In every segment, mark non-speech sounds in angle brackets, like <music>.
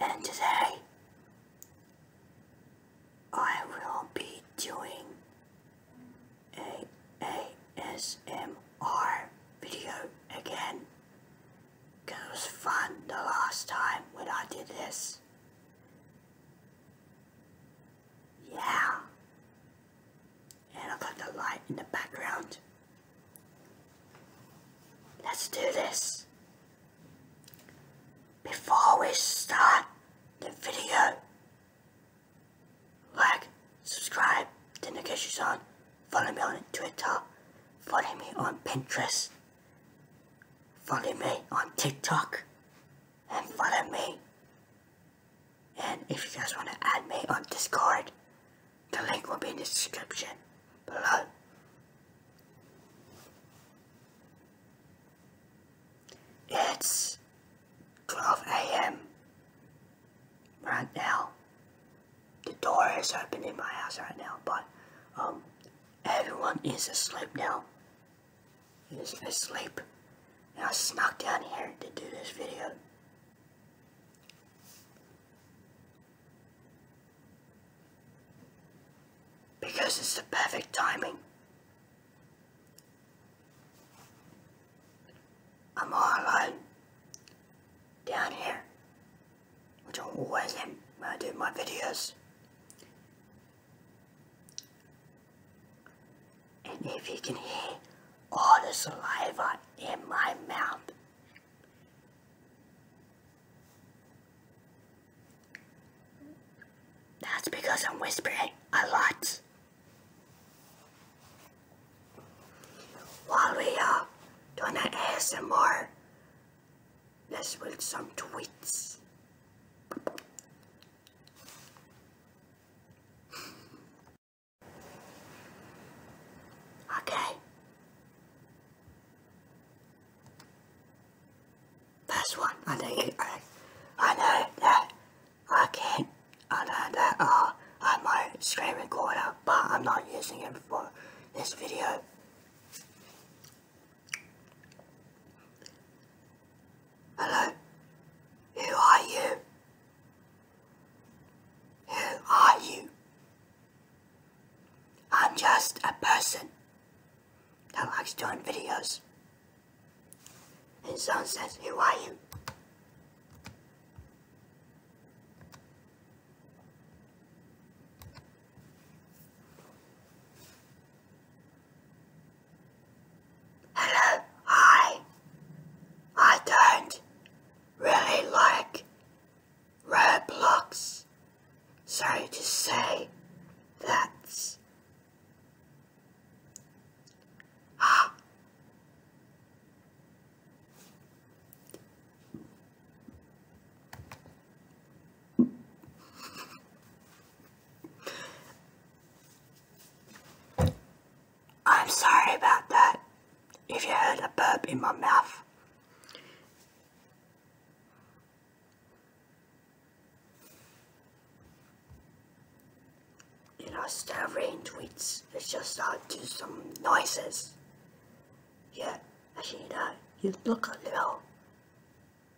and today I will be doing a ASMR video again because it was fun the last time when I did this. Yeah. And I've got the light in the background Let's do this. Before we start the video, like, subscribe, turn notifications on, follow me on Twitter, follow me on Pinterest, follow me on TikTok, and follow me. And if you guys want to add me on Discord, the link will be in the description below. It's 12 a.m. right now. The door is open in my house right now, but um, everyone is asleep now. Is asleep. And I snuck down here to do this video. Because it's the perfect timing. I'm all alone down here, which I always am when I do my videos. And if you can hear all the saliva in my mouth, that's because I'm whispering a lot. While we are gonna add some more. let's build some tweets. Okay, this one, I know, I, I know that I can't, I know that uh, I might screen recorder, but I'm not using it for this video. Hello? Who are you? Who are you? I'm just a person that likes doing videos. And someone says, who are you? Hello, hi. I don't really like Red blocks. Sorry to say, that's... I'm sorry about that, if you heard a burp in my mouth. You know, instead of reading tweets, it's just I'll do some noises. Yeah, actually, you, know, you look a little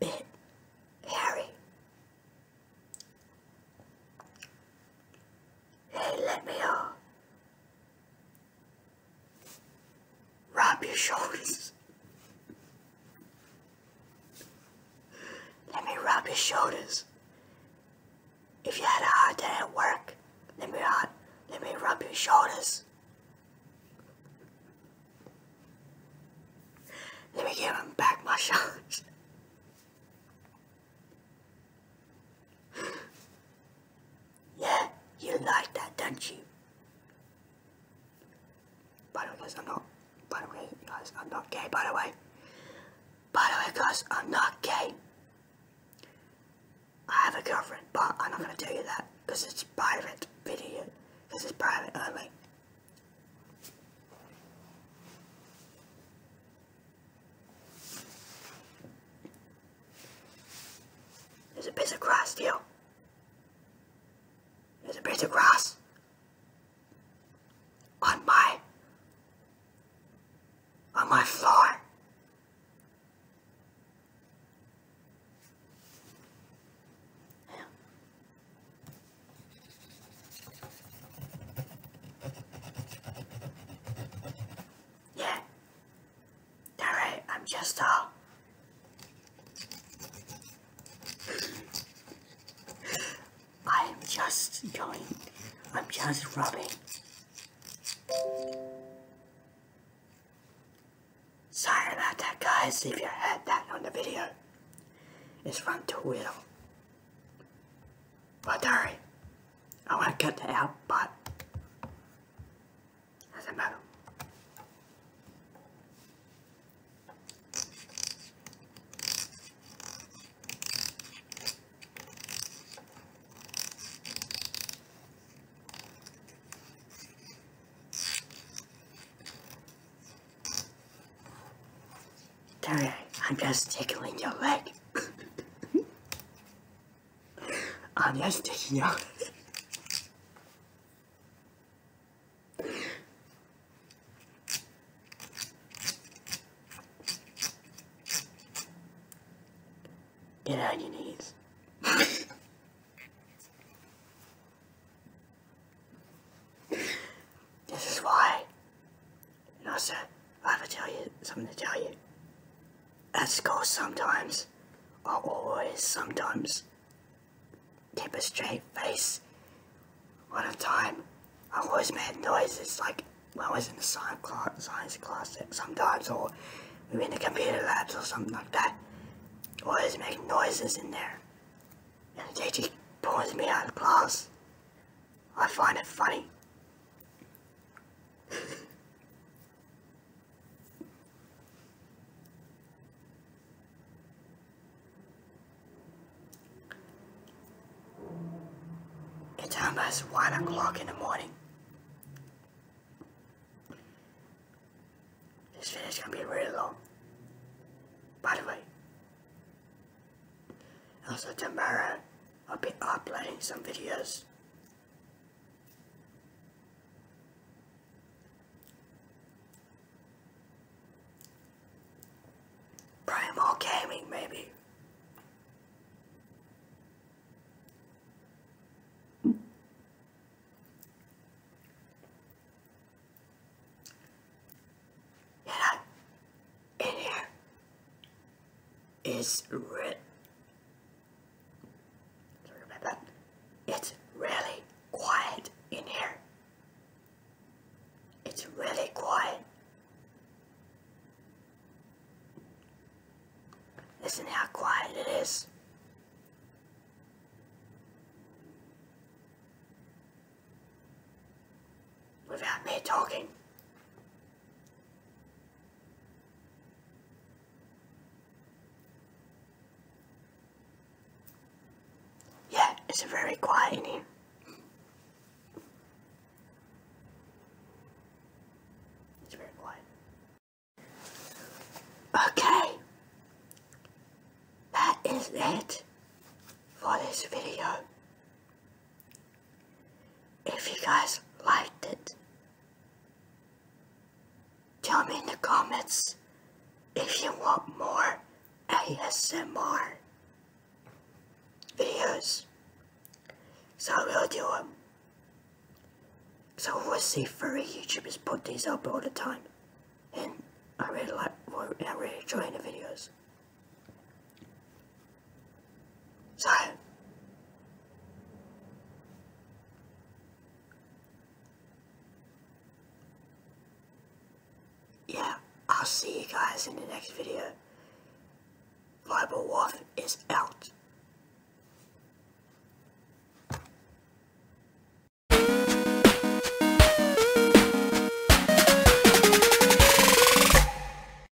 bit hairy. Hey, let me out. Uh, Rub your shoulders. Let me rub your shoulders. If you had a hard day at work, let me, hard, let me rub your shoulders. Let me give him back my shoulders. Yeah, you like that, don't you? By the way, guys, I'm not. By the way, guys, I'm not gay. By the way. By the way, guys, I'm not gay. I have a girlfriend, but I'm not gonna tell you that because it's private video. This is private only. There's a piece of grass, deal. There's a piece of grass on my on my floor. Yeah, Alright, I'm just uh I'm just going I'm just rubbing Sorry about that guys if you heard that on the video. It's from two wheel. But alright. Oh, I want to get the out, but doesn't matter. Terry, I'm just tickling your leg. <laughs> 아니야 이 새끼야 Get on your knees. this is why. And also, I have to tell you something to tell you at school sometimes, I always sometimes keep a straight face. One time, I always make noises like when I was in the science class, science class sometimes, or we were in the computer labs or something like that. Always make noises in there. And the teacher pulls me out of class. I find it funny it's almost one o'clock in the morning. This video is gonna be really long. By the way, also tomorrow I'll be uploading some videos Primal Gaming, maybe in here is it's really quiet in here. It's really quiet. Listen how quiet it is. Without me talking. Yeah, it's very quiet in here. It's very quiet. Okay, that is it for this video. If you guys liked it, tell me in the comments if you want more ASMR videos. So we'll do them. So I will see furry YouTubers put these up all the time. And I really like, I really enjoy the videos. Yeah, I'll see you guys in the next video. Bible Wolf is out.